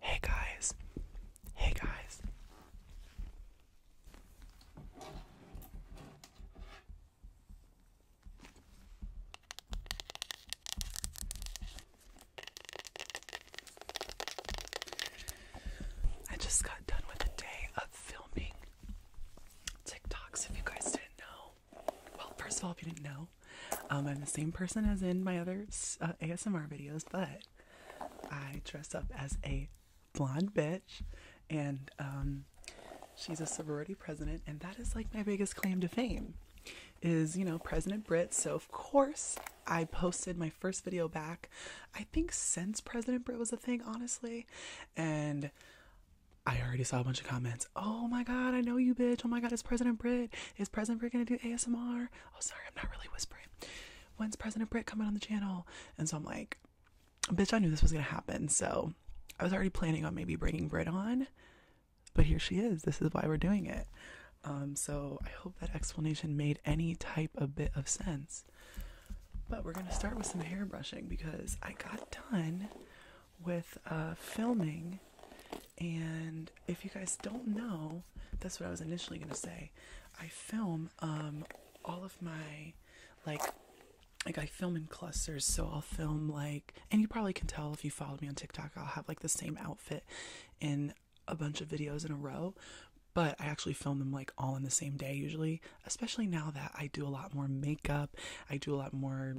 Hey guys, hey guys. I just got done with a day of filming TikToks. If you guys didn't know, well, first of all, if you didn't know, um, I'm the same person as in my other uh, ASMR videos, but I dress up as a blonde bitch, and um, she's a sorority president, and that is like my biggest claim to fame. Is you know President Brit, so of course I posted my first video back. I think since President Brit was a thing, honestly, and I already saw a bunch of comments. Oh my god, I know you, bitch! Oh my god, is President Brit? Is President Brit gonna do ASMR? oh sorry i'm not really whispering when's president Britt coming on the channel and so i'm like bitch i knew this was gonna happen so i was already planning on maybe bringing brit on but here she is this is why we're doing it um, so i hope that explanation made any type of bit of sense but we're gonna start with some hair brushing because i got done with uh filming and if you guys don't know, that's what I was initially gonna say. I film um all of my like like I film in clusters, so I'll film like and you probably can tell if you follow me on TikTok, I'll have like the same outfit in a bunch of videos in a row. But I actually film them like all in the same day usually, especially now that I do a lot more makeup, I do a lot more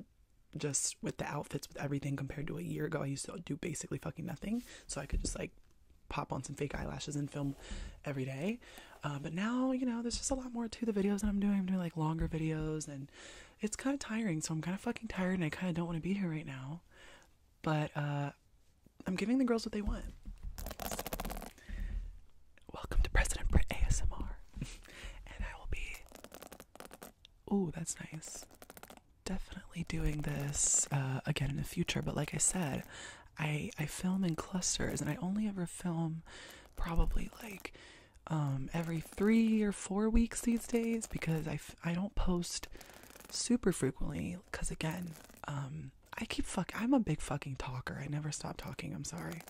just with the outfits with everything compared to a year ago i used to do basically fucking nothing so I could just like pop on some fake eyelashes and film every day. Uh, but now, you know, there's just a lot more to the videos that I'm doing. I'm doing like longer videos, and it's kind of tiring. So I'm kind of fucking tired, and I kind of don't want to be here right now. But uh, I'm giving the girls what they want. Welcome to President Brit ASMR, and I will be. Oh, that's nice definitely doing this uh, again in the future, but like I said, I I film in clusters, and I only ever film probably like um, every three or four weeks these days because I f I don't post super frequently because again um, I keep fuck I'm a big fucking talker. I never stop talking. I'm sorry.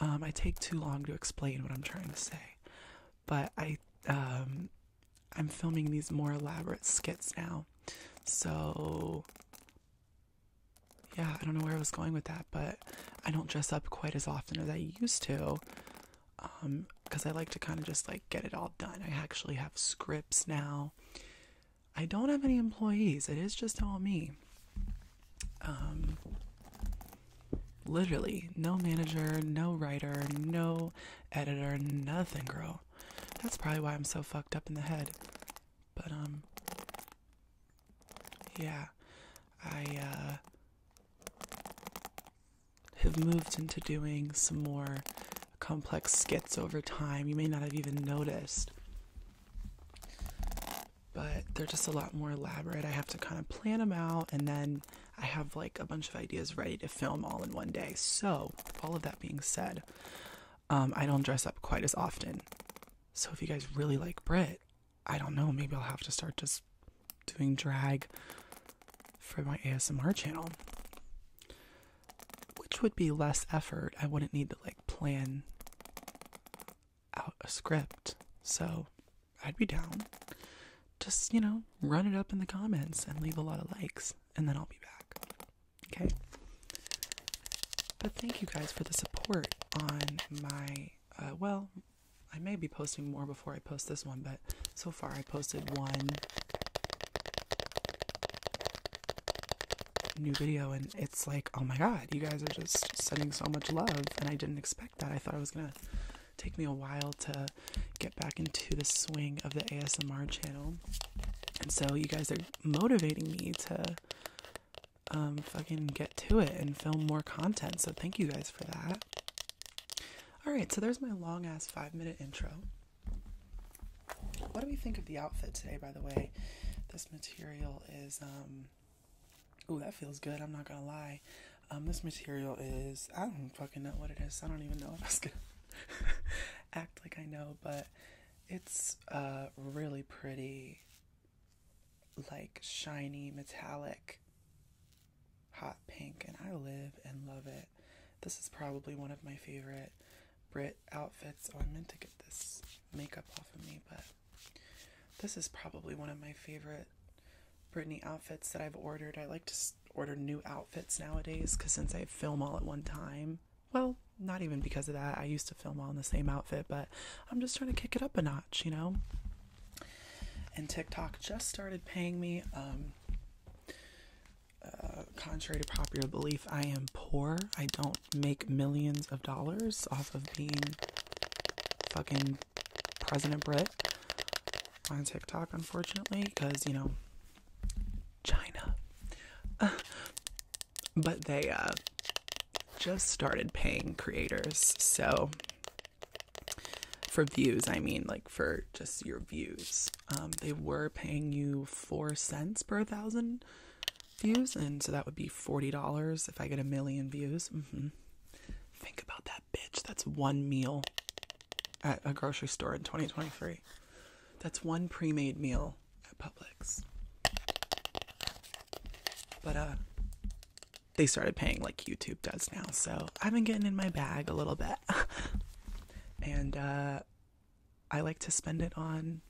Um, I take too long to explain what I'm trying to say, but I I'm filming these more elaborate skits now. So, yeah, I don't know where I was going with that, but I don't dress up quite as often as I used to um because I like to kind of just like get it all done. I actually have scripts now. I don't have any employees. It is just all me. Um literally no manager, no writer, no editor, nothing, girl. That's probably why I'm so fucked up in the head. But, um, yeah, I, uh, have moved into doing some more complex skits over time. You may not have even noticed. But they're just a lot more elaborate. I have to kind of plan them out and then I have like a bunch of ideas ready to film all in one day. So, all of that being said, um, I don't dress up quite as often. So, if you guys really like Brit, I don't know, maybe I'll have to start just doing drag for my ASMR channel, which would be less effort. I wouldn't need to like plan out a script. So, I'd be down just, you know, run it up in the comments and leave a lot of likes, and then I'll be back. Okay? But thank you guys for the support on my, uh, well, I may be posting more before I post this one, but so far I posted one new video, and it's like, oh my god, you guys are just sending so much love, and I didn't expect that. I thought I was gonna take me a while to get back into the swing of the ASMR channel. And so you guys are motivating me to um, fucking get to it and film more content. So thank you guys for that. All right, so there's my long ass 5-minute intro. What do we think of the outfit today by the way? This material is oh that feels good. I'm not gonna lie. Um, this material is I don't fucking know what it is. I don't even know what I was act like I know, but it's uh, really pretty, like shiny, metallic, hot pink, and I live and love it. This is probably one of my favorite Brit outfits. Oh, I meant to get this makeup off of me, but this is probably one of my favorite Britney outfits that I've ordered. I like to order new outfits nowadays because since I film all at one time, well, not even because of that. I used to film all in the same outfit, but I'm just trying to kick it up a notch, you know? And TikTok just started paying me. Um, uh, contrary to popular belief, I am poor. I don't make millions of dollars off of being fucking President Brit on TikTok, unfortunately, because, you know, China. Uh, but they uh, just started paying creators. So, for views, I mean, like for just your views, um, they were paying you four cents per thousand views. And so that would be $40 if I get a million views. Mm-hmm. Think about that, bitch. That's one meal at a grocery store in 2023. That's one pre made meal at Publix. But, uh, they started paying like YouTube does now. So I've been getting in my bag a little bit. and, uh, I like to spend it on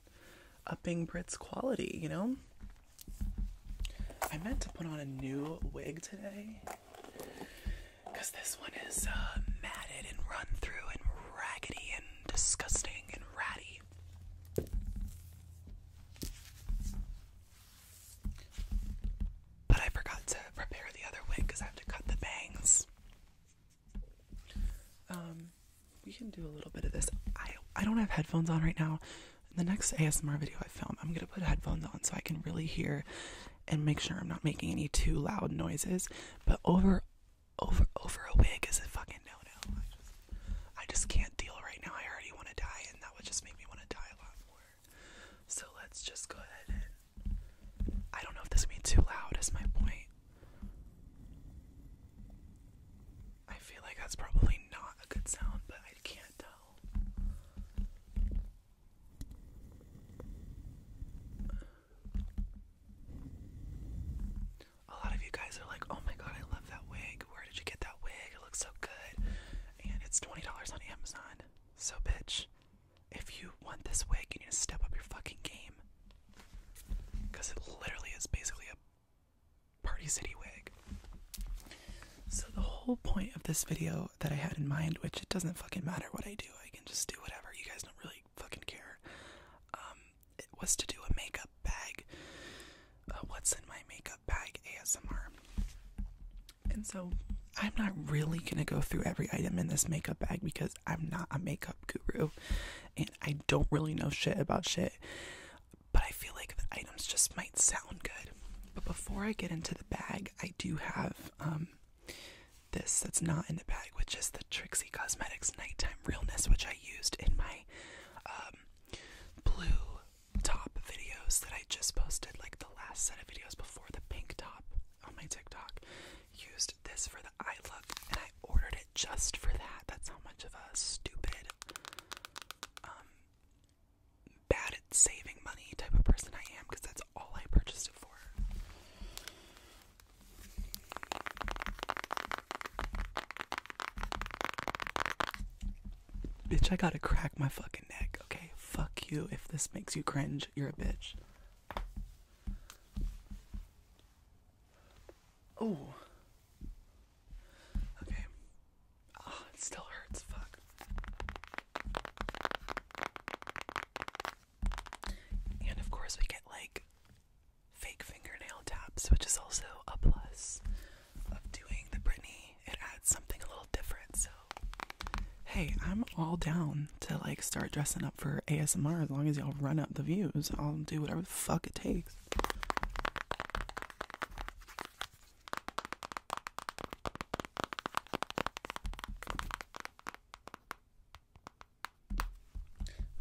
upping Brit's quality, you know? I meant to put on a new wig today because this one is uh, matted and run through and raggedy and disgusting and ratty. But I forgot to prepare the other wig because I have to cut the bangs. Um, we can do a little bit of this. I I don't have headphones on right now. In the next ASMR video I film, I'm gonna put headphones on so I can really hear and make sure I'm not making any too loud noises. But over, over, over a wig is a fucking no no. I just, can't deal right now. I already want to die, and that would just make me want to die a lot more. So let's just go ahead and. I don't know if this will be too loud, is my point. I feel like that's probably not a good sound, but I can't tell. A lot of you guys are like, oh my god, I love that wig. Where did you get that wig? It looks so good. And it's $20 on Amazon. So, bitch, if you want this wig, you need to step up your fucking game. Because it literally is basically a Party City wig. So, the whole point of this video that I had in mind, which it doesn't fucking matter what I do, I can just do whatever. You guys know really fucking care. Um, it was to do a makeup bag. Uh, what's in my makeup bag ASMR? And so I'm not really gonna go through every item in this makeup bag because I'm not a makeup guru and I don't really know shit about shit. But I feel like the items just might sound good. But before I get into the bag, I do have um, this that's not in the bag, which is the Trixie Cosmetics Nighttime Realness, which I used in my um, blue top videos that I just posted, like the last set of videos before the pink top on my TikTok. Used this for the eye look, and I ordered it just for that. That's how much of a stupid, um, bad at saving money type of person I am, because that's all I purchased it for. Bitch, I gotta crack my fucking neck, okay? Fuck you. If this makes you cringe, you're a bitch. Oh. Okay. Oh, it still hurts. Fuck. And of course, we get like fake fingernail taps, which is also a plus of doing the Britney. It adds something a little different. So, hey, I'm all down to like start dressing up for ASMR as long as y'all run up the views. I'll do whatever the fuck it takes.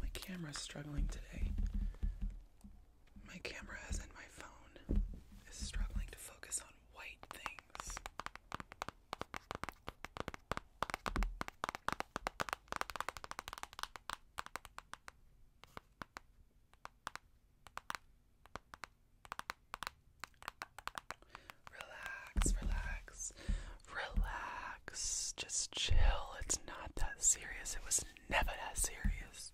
My camera's struggling today. My camera, as in my phone, is struggling to focus on white things. Relax, relax, relax. Just chill. It's not that serious. It was never that serious.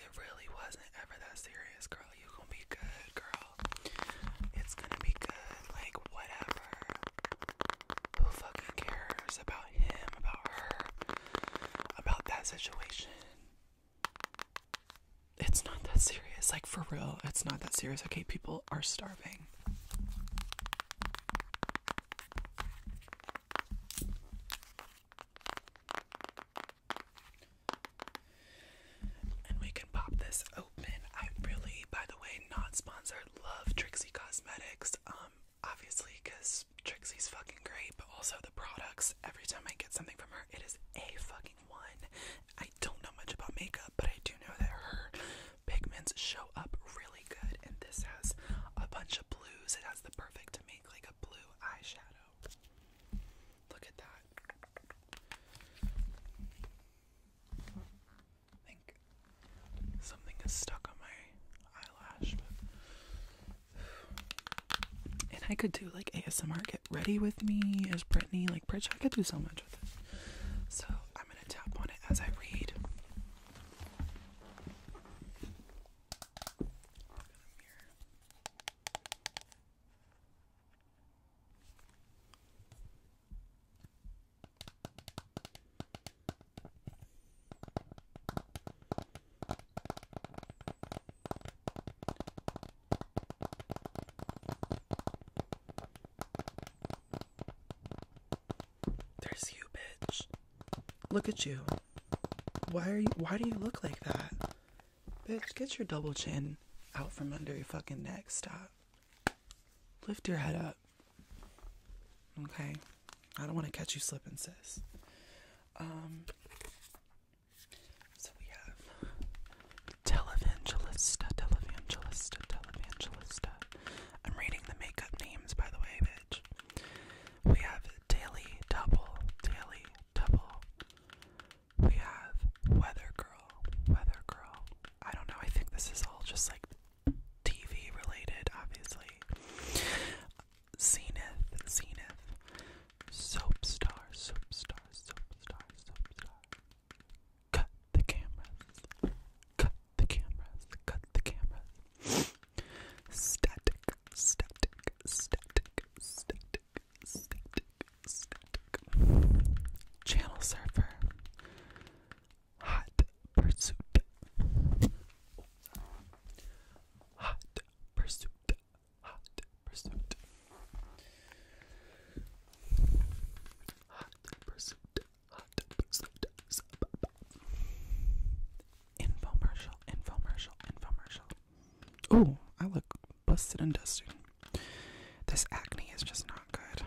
It really wasn't ever that serious, girl. You gonna be good, girl. It's gonna be good. Like whatever. Who fucking cares about him, about her, about that situation? It's not that serious. Like for real, it's not that serious. Okay, people are starving thing. And we can pop this open. I really, by the way, not sponsored, love Trixie Cosmetics. Um, obviously, because Trixie's fucking great, but also the products. Every time I get something from her, it is a fucking one. I I don't know much about makeup, but I do know that her pigments show up really good, and this has a bunch of blues. It has the perfect make like a blue eyeshadow. Look at that. think something is stuck on my eyelash. And I could do like ASMR, get ready with me as Brittany, Bridge. I could do so much with it. So I'm going to tap on it as I read. There's you, bitch. Look at you. Why are you why do you look like that? Bitch, get your double chin out from under your fucking neck. Stop. Lift your head up. Okay. I don't want to catch you slipping, sis. Um so we have Televangelista, televangelista, televangelista. I'm reading the makeup names, by the way, bitch. We have Daily Double, Daily Double. We have Weather Girl, Weather Girl. I don't know, I think this is all just like TV related, obviously. Zenith, Zenith. Soapstar, Soapstar, Soapstar, Soapstar. Cut the cameras. Cut the cameras. Cut the cameras. Static. Static. Static. Static. Static. Static. Channel surfer. Hot pursuit. Hot pursuit. Hot pursuit hot infomercial, infomercial, infomercial. Ooh, I look busted and dusty. This acne is just not good.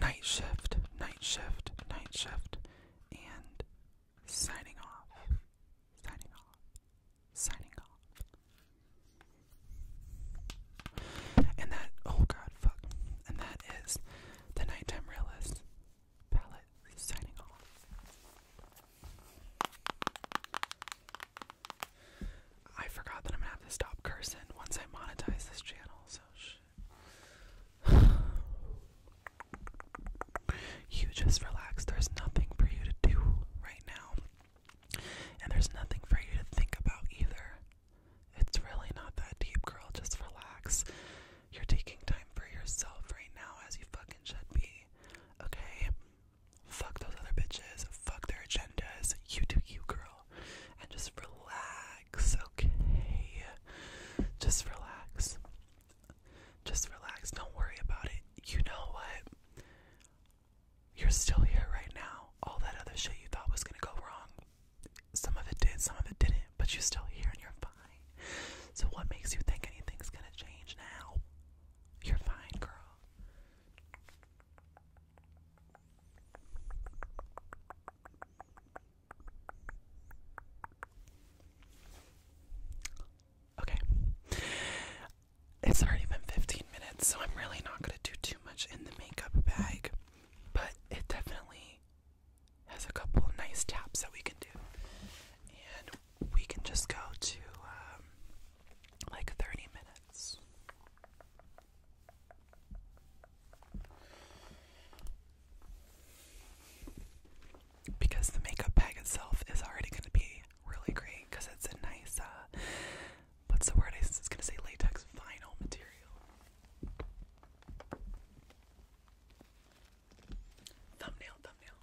Night shift, night shift, night shift, and signing off, signing off, signing off. And that, oh god, fuck. And that is the Nighttime Realist palette signing off. I forgot that I'm gonna have to stop cursing once I monetize this channel, so You just relax. There's nothing for you to do right now. And there's nothing for you to think about either. It's really not that deep, girl. Just relax. You're taking time for yourself right now, as you fucking should be. Okay? Fuck those other bitches. Fuck their agendas. You do you, girl. And just relax, okay? Just relax. Just relax. Don't worry about it. You know what? you're still here right now. All that other shit you thought was gonna go wrong, some of it did, some of it didn't, but you're still here and you're fine. So, what makes you think anything's gonna change now? You're fine, girl. Okay. It's already been 15 minutes, so I'm really not going to do much in the makeup bag, but it definitely has a couple nice taps that we can do. And we can just go to um, like 30 minutes. Because the makeup bag itself is already going to be really great because it's a nice uh, What's the word? It's gonna say latex vinyl material. Thumbnail, thumbnail.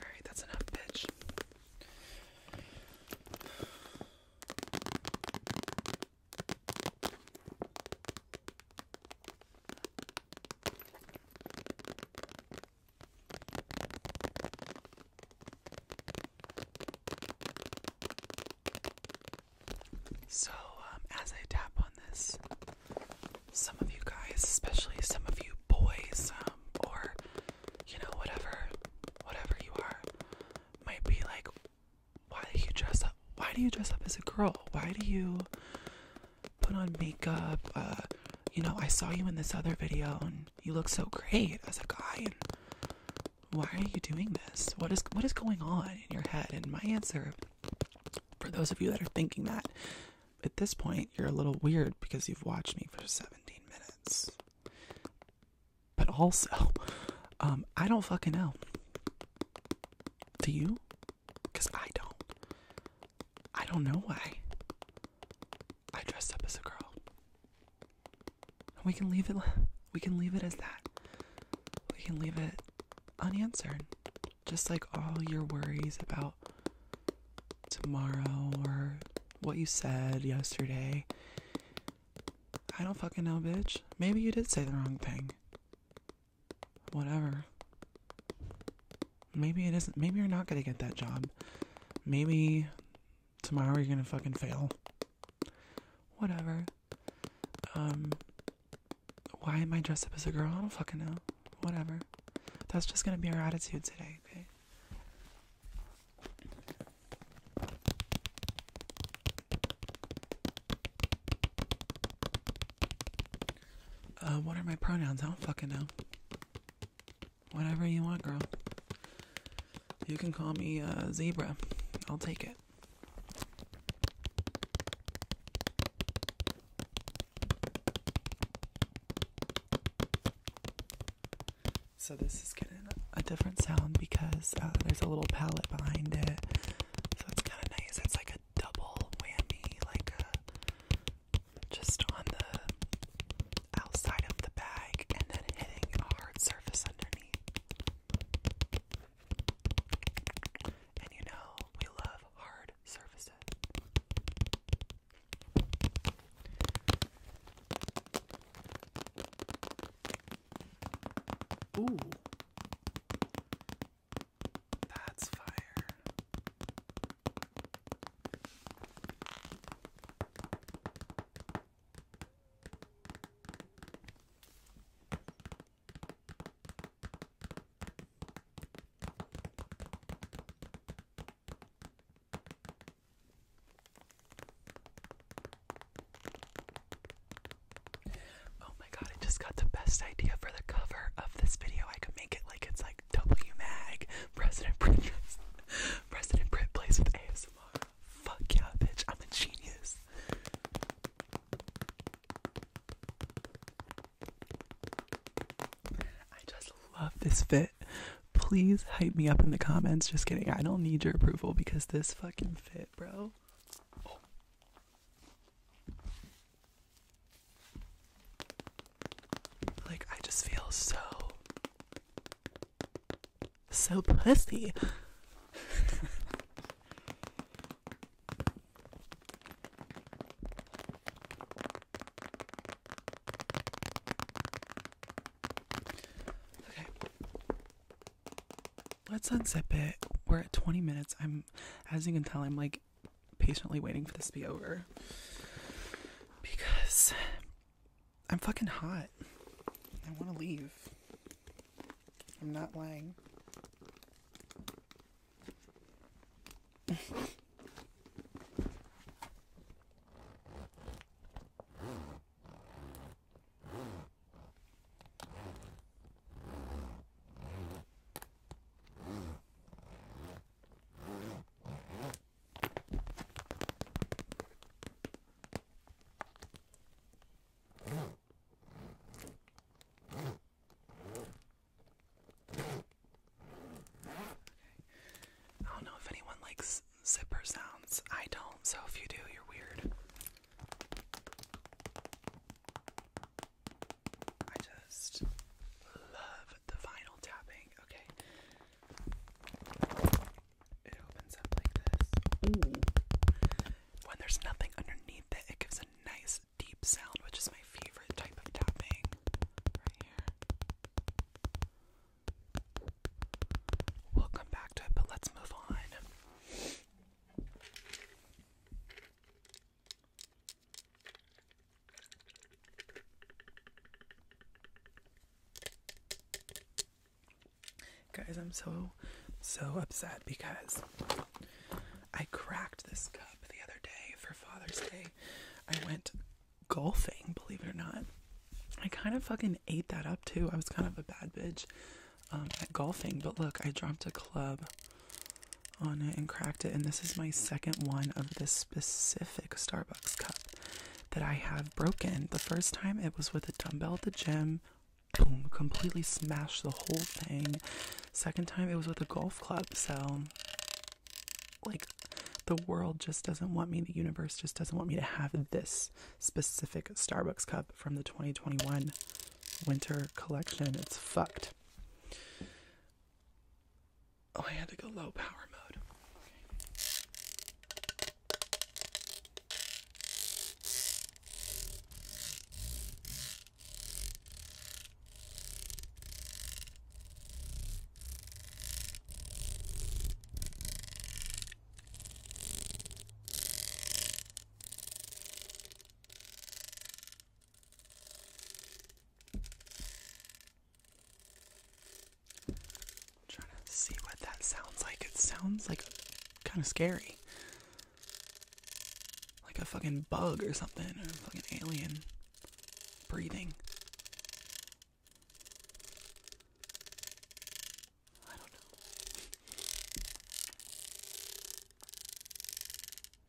Alright, that's enough, bitch. So, um, as I tap on this, some of you guys, especially some of you boys, um, or you know, whatever, whatever you are, might be like, why do you dress up? Why do you dress up as a girl? Why do you put on makeup? Uh, you know, I saw you in this other video and you look so great as a guy. And why are you doing this? What is what is going on in your head? And my answer for those of you that are thinking that at this point you're a little weird because you've watched me for 17 minutes. But also, um, I don't fucking know. Do you? Because I don't. I don't know why. I dressed up as a girl. And we can leave it we can leave it as that. We can leave it unanswered. Just like all your worries about tomorrow or what you said yesterday. I don't fucking know, bitch. Maybe you did say the wrong thing whatever. Maybe it isn't. Maybe you're not gonna get that job. Maybe tomorrow you're gonna fucking fail. Whatever. Um, why am I dressed up as a girl? I don't fucking know. Whatever. That's just gonna be our attitude today, okay? Uh, what are my pronouns? I don't fucking know. Whatever you want, girl. You can call me uh, Zebra. I'll take it. So this is getting a different sound because uh, there's a little palette behind it. So it's kind of nice. It's like a like double whammy, like just on the outside of the bag and then hitting a hard surface underneath. And you know, we love hard surfaces. Ooh. That's fire. Oh my god, I just got the best idea for the cover of this video. I could make it like it's like W Mag, President Brit President Brit plays with ASMR. Fuck yeah, bitch, I'm a genius. I just love this fit. Please hype me up in the comments. Just kidding. I don't need your approval because this fucking fit, bro. Oh. Like, I just feel so. so pussy. okay. Let's unzip it. We're at 20 minutes. I'm, as you can tell, I'm like patiently waiting for this to be over because I'm fucking hot. I want to leave. I'm not lying. I don't know if anyone likes zipper sounds. I don't, so if you do, you're weird. I just love the vinyl tapping. Okay. It opens up like this. When there's nothing underneath it, it gives a nice deep sound, which is my favorite type of tapping. Right here. We'll come back to it, but let's move on. Guys, I'm so, so upset because I cracked this cup the other day for Father's Day. I went golfing, believe it or not. I kind of fucking ate that up too. I was kind of a bad bitch um, at golfing, but look, I dropped a club on it and cracked it. And this is my second one of this specific Starbucks cup that I have broken. The first time it was with a dumbbell at the gym, boom, completely smashed the whole thing. Second time it was with a golf club. So, like, the world just doesn't want me, the universe just doesn't want me to have this specific Starbucks cup from the 2021 winter collection. It's fucked. Oh, I had to go low power mode trying to see what that sounds like. It sounds like kind of scary. Like a fucking bug or something, or fucking alien breathing. I don't know.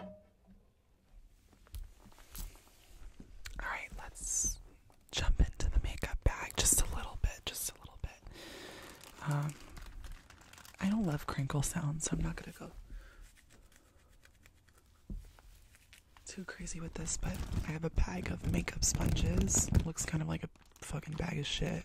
All right, let's jump into the makeup bag just a little bit, just a little bit. Um, I don't love crinkle sounds, so I'm not gonna go too crazy with this, but I have a bag of makeup sponges. looks kind of like a fucking bag of shit.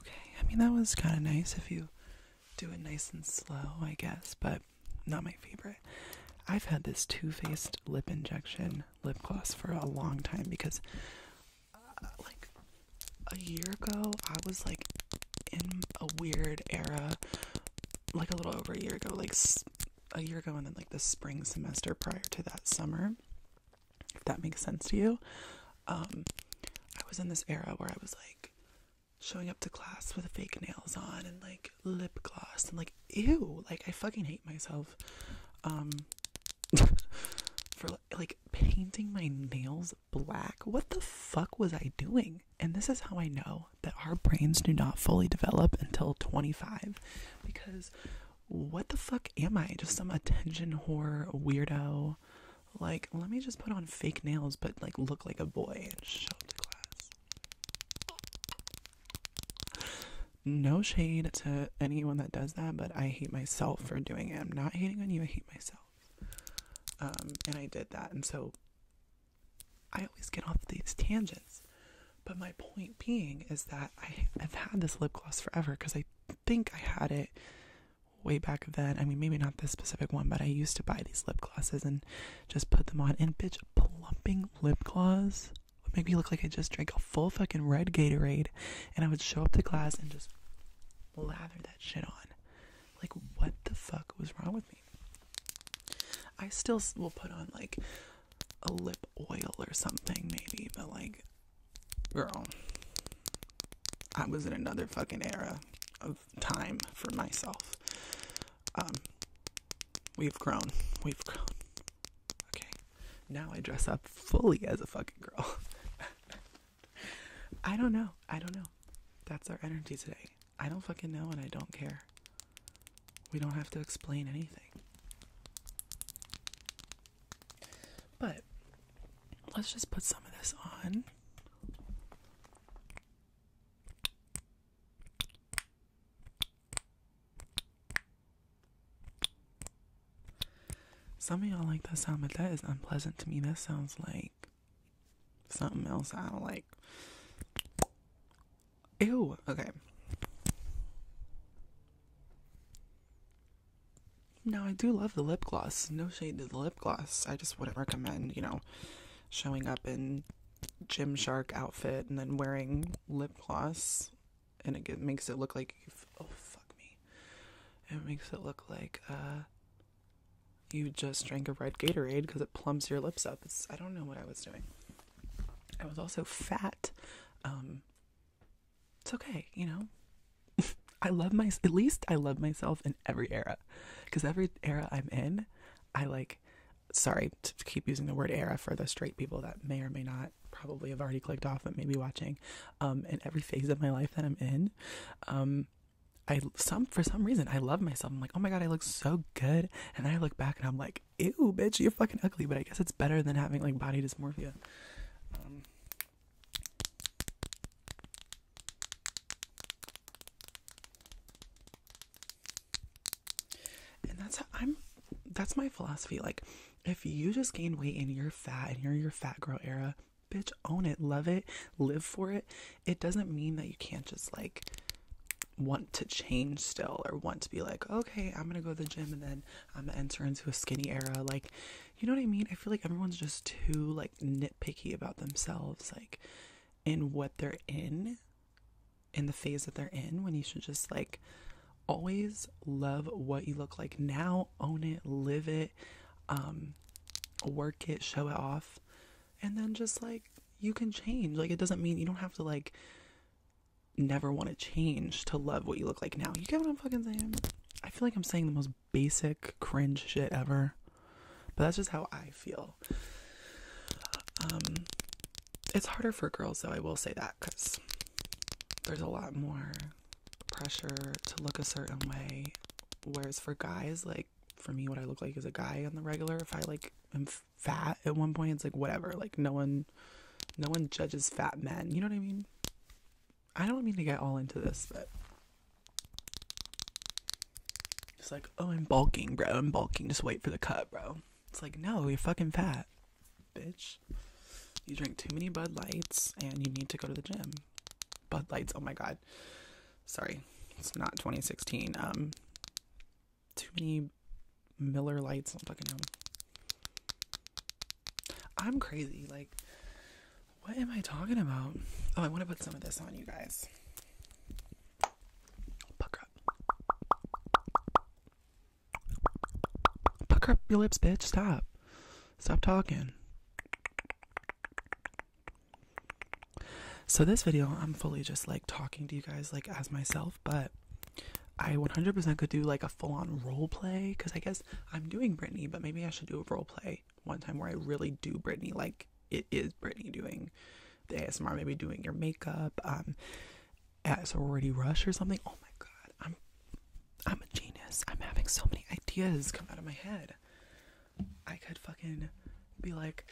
Okay, I mean, that was kind of nice if you do it nice and slow, I guess, but not my favorite. I've had this Too Faced lip injection lip gloss for a long time because, uh, like, a year ago, I was like in a weird era, like a little over a year ago, like a year ago, and then like the spring semester prior to that summer. If that makes sense to you, um, I was in this era where I was like showing up to class with fake nails on and like lip gloss and like ew, like I fucking hate myself. Um, for like painting my nails black. What the fuck was I doing? and this is how I know that our brains do not fully develop until 25 because what the fuck am I? Just some attention whore weirdo. Like, let me just put on fake nails but like look like a boy and show up to class. No shade to anyone that does that, but I hate myself for doing it. I'm not hating on you, I hate myself. Um, and I did that, and so I always get off these tangents. But my point being is that I have had this lip gloss forever because I think I had it way back then. I mean, maybe not this specific one, but I used to buy these lip glosses and just put them on. And bitch, plumping lip gloss would make me look like I just drank a full fucking red Gatorade. And I would show up to class and just lather that shit on. Like, what the fuck was wrong with me? I still will put on like a lip oil or something, maybe, but like, girl, I was in another fucking era of time for myself. Um, we've grown, we've grown. Okay, now I dress up fully as a fucking girl. I don't know, I don't know. That's our energy today. I don't fucking know and I don't care. We don't have to explain anything. But let's just put some of this on. Some of y'all like that sound, but that is unpleasant to me. That sounds like something else I don't like. Ew, okay. Now, I do love the lip gloss. No shade to the lip gloss. I just wouldn't recommend, you know, showing up in Gymshark outfit and then wearing lip gloss and it makes it look like oh fuck me. It makes it look like uh you just drank a red Gatorade because it plumps your lips up. It's, I don't know what I was doing. I was also fat. Um, it's okay, you know. I love my at least I love myself in every era, because every era I'm in, I like. Sorry to keep using the word era for the straight people that may or may not probably have already clicked off but may be watching. Um, in every phase of my life that I'm in, um, I some for some reason I love myself. I'm like, oh my god, I look so good. And I look back and I'm like, ew, bitch, you're fucking ugly. But I guess it's better than having like body dysmorphia. Um, and that's how I'm. That's my philosophy. Like, if you just gain weight and you're fat and you're your fat girl era, bitch, own it, love it, live for it. It doesn't mean that you can't just like want to change still or want to be like okay i'm gonna go to the gym and then i'm gonna enter into a skinny era like you know what i mean i feel like everyone's just too like nitpicky about themselves like in what they're in in the phase that they're in when you should just like always love what you look like now own it live it um, work it show it off and then just like you can change like it doesn't mean you don't have to like never want to change to love what you look like now you get what i'm fucking saying i feel like i'm saying the most basic cringe shit ever but that's just how i feel um it's harder for girls though i will say that because there's a lot more pressure to look a certain way whereas for guys like for me what i look like as a guy on the regular if i like am fat at one point. It's like whatever. Like no one, no one judges fat men. You know what I mean? I don't mean to get all into this, but it's like, oh, I'm bulking, bro. I'm bulking. Just wait for the cut, bro. It's like, no, you're fucking fat, bitch. You drink too many Bud Lights and you need to go to the gym. Bud Lights. Oh my god. Sorry, it's not 2016. Um, too many Miller lights on fucking home. I'm crazy. Like, what am I talking about? Oh, I want to put some of this on you guys. Pucker up. Pucker up your lips, bitch. Stop. Stop talking. So this video, I'm fully just like talking to you guys like as myself, but I 100% could do like a full-on role play because I guess I'm doing Brittany. but maybe I should do a role play one time where I really do Brittany, like it is Brittany doing the ASMR, maybe doing your makeup, um, at sorority rush or something. Oh my god, I'm I'm a genius. I'm having so many ideas come out of my head. I could fucking be like,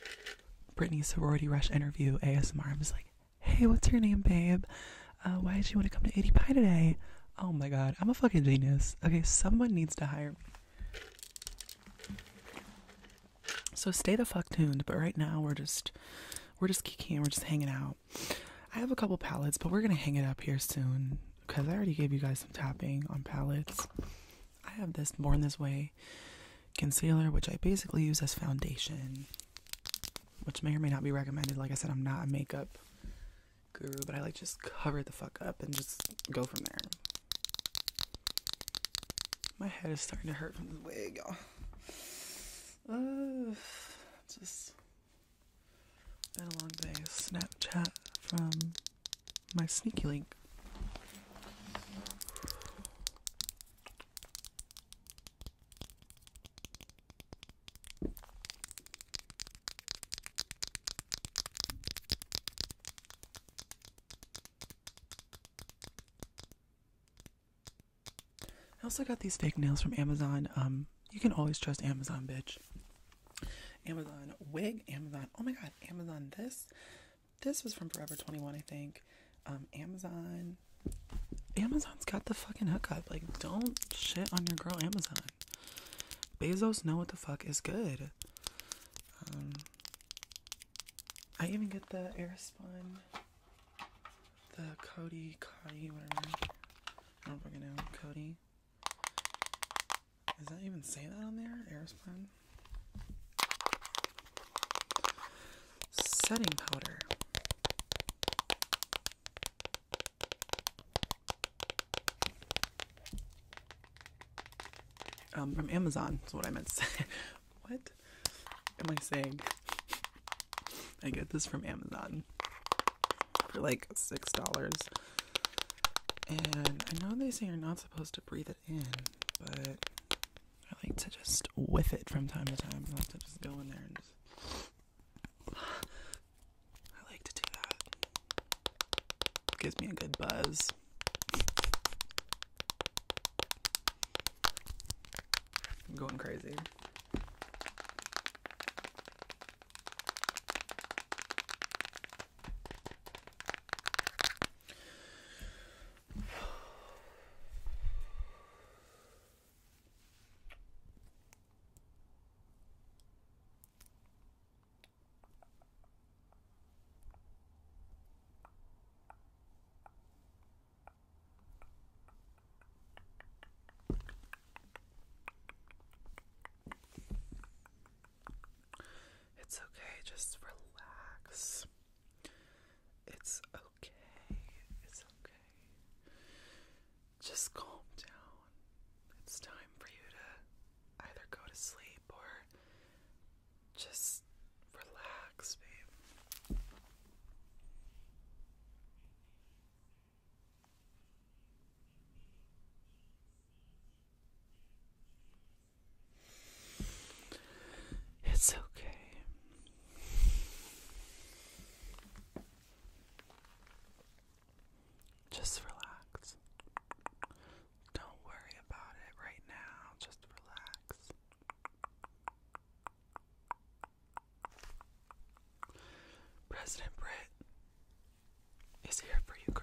Brittany Sorority Rush interview ASMR. I'm just like, hey, what's your name, babe? Uh, why did you want to come to 80 Pie today? Oh my god, I'm a fucking genius. Okay, someone needs to hire me. So stay the fuck tuned, but right now we're just we're just kicking, we're just hanging out. I have a couple palettes, but we're gonna hang it up here soon because I already gave you guys some tapping on palettes. I have this Born This Way concealer, which I basically use as foundation, which may or may not be recommended. Like I said, I'm not a makeup guru, but I like just cover the fuck up and just go from there. My head is starting to hurt from the wig, y'all. Uh, just been a long day. Snapchat from my sneaky link. I also got these fake nails from Amazon. Um, you can always trust Amazon, bitch. Amazon wig, Amazon. Oh my god, Amazon this. This was from Forever 21, I think. Um, Amazon. Amazon's got the fucking hookup. Like, don't shit on your girl Amazon. Bezos know what the fuck is good. Um, I even get the Airspun, the Cody, Cody, whatever. I don't fucking know. Cody. Does that even say that on there? Airspun? Setting powder. Um, from Amazon is what I meant to say. what am I saying? I get this from Amazon for like six dollars. And I know they say you're not supposed to breathe it in, but I like to just whiff it from time to time. I like to just go in there and just. I like to do that. gives me a good buzz. I'm going crazy. It's okay, just relax. It's okay. It's okay. Just calm down. It's time for you to either go to sleep or just relax, babe. It's okay. Just relax. Don't worry about it right now. Just relax. President Brett is here for you, girl.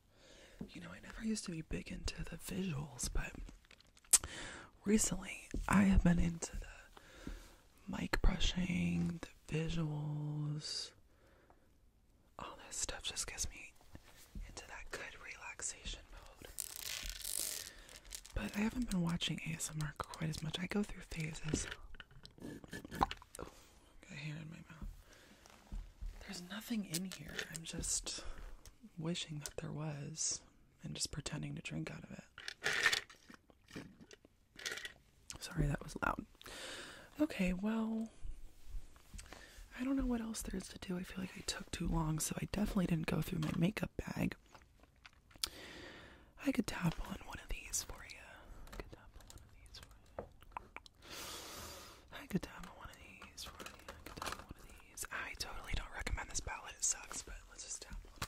You know, I never used to be big into the visuals, but recently I have been into the mic brushing, the visuals. All that stuff just gets me into that good relaxation mode. But I haven't been watching ASMR quite as much. I go through phases got hair in my mouth. There's nothing in here. I'm just wishing that there was and just pretending to drink out of it. Sorry, that was loud. Okay, well, I don't know what else there is to do. I feel like I took too long, so I definitely didn't go through my makeup bag. I could tap on one of these for you. I could tap on one of these for you. I could dab one of these. I could dab one of these. I totally don't recommend this palette. It sucks, but let's just dab it.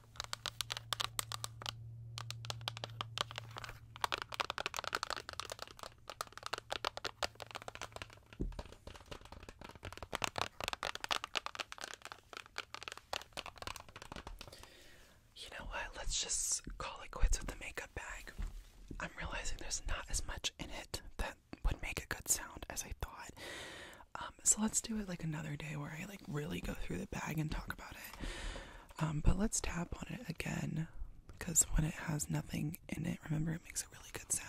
You know what? Let's just call it quits with the makeup bag. I'm realizing there's not as much in it that would make a good sound as I thought. Um, so let's do it like another day where I like really go through the bag and talk about it. Um, but let's tap on it again because when it has nothing in it, remember it makes a really good sound.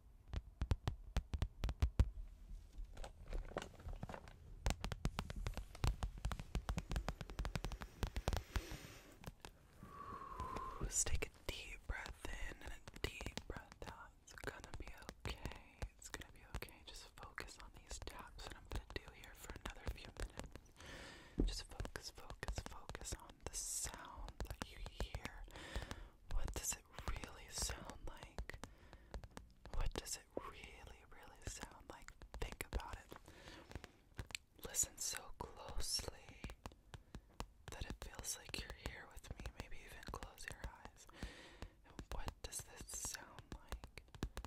Let's take a deep breath in and a deep breath out. It's gonna be okay. It's gonna be okay. Just focus on these taps that I'm gonna do here for another few minutes. Just focus, focus, focus on the sound that you hear. What does it? it really sound like? What does it really, really sound like? Think about it. Listen so closely that it feels like you're here with me. Maybe even close your eyes. what does this sound like?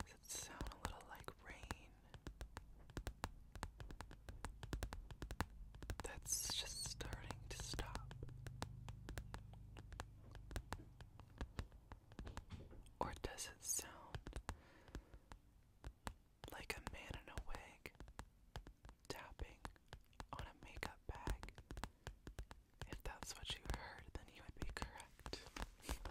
Does it sound a little like rain? That's just starting to stop. Or does it sound like a man in a wig tapping on a makeup bag? If that's what you heard, then you would be correct.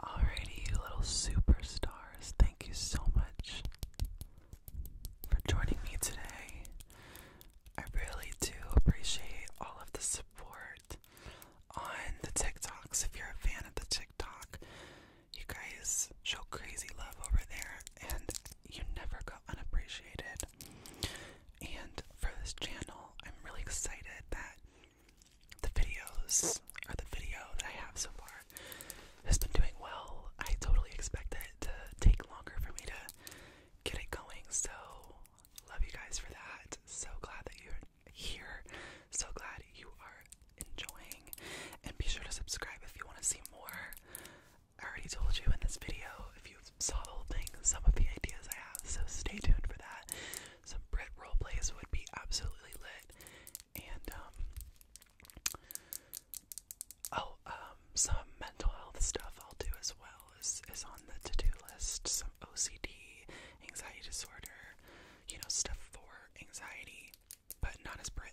Alrighty, you little superstars, thank you so much for joining me today. I really do appreciate all of the support on the TikToks. If you're a fan of the TikTok, you guys show crazy love over there, and you never go unappreciated. And for this channel, I'm really excited that the videos, or the video that I have so far, has been doing well. I totally expected it to take longer for me to get it going, so love you guys for that. So glad that you're here. So glad you are enjoying. And be sure to subscribe if you want to see more. I already told you in this video, if you saw the whole thing, some of the ideas I have, so stay tuned for that. Some Brit roleplays would be absolutely lit. And, um, oh, um, some mental health stuff I'll do as well is, is on the to do list. Some OCD, anxiety disorder, you know, stuff for anxiety, but not as Brit.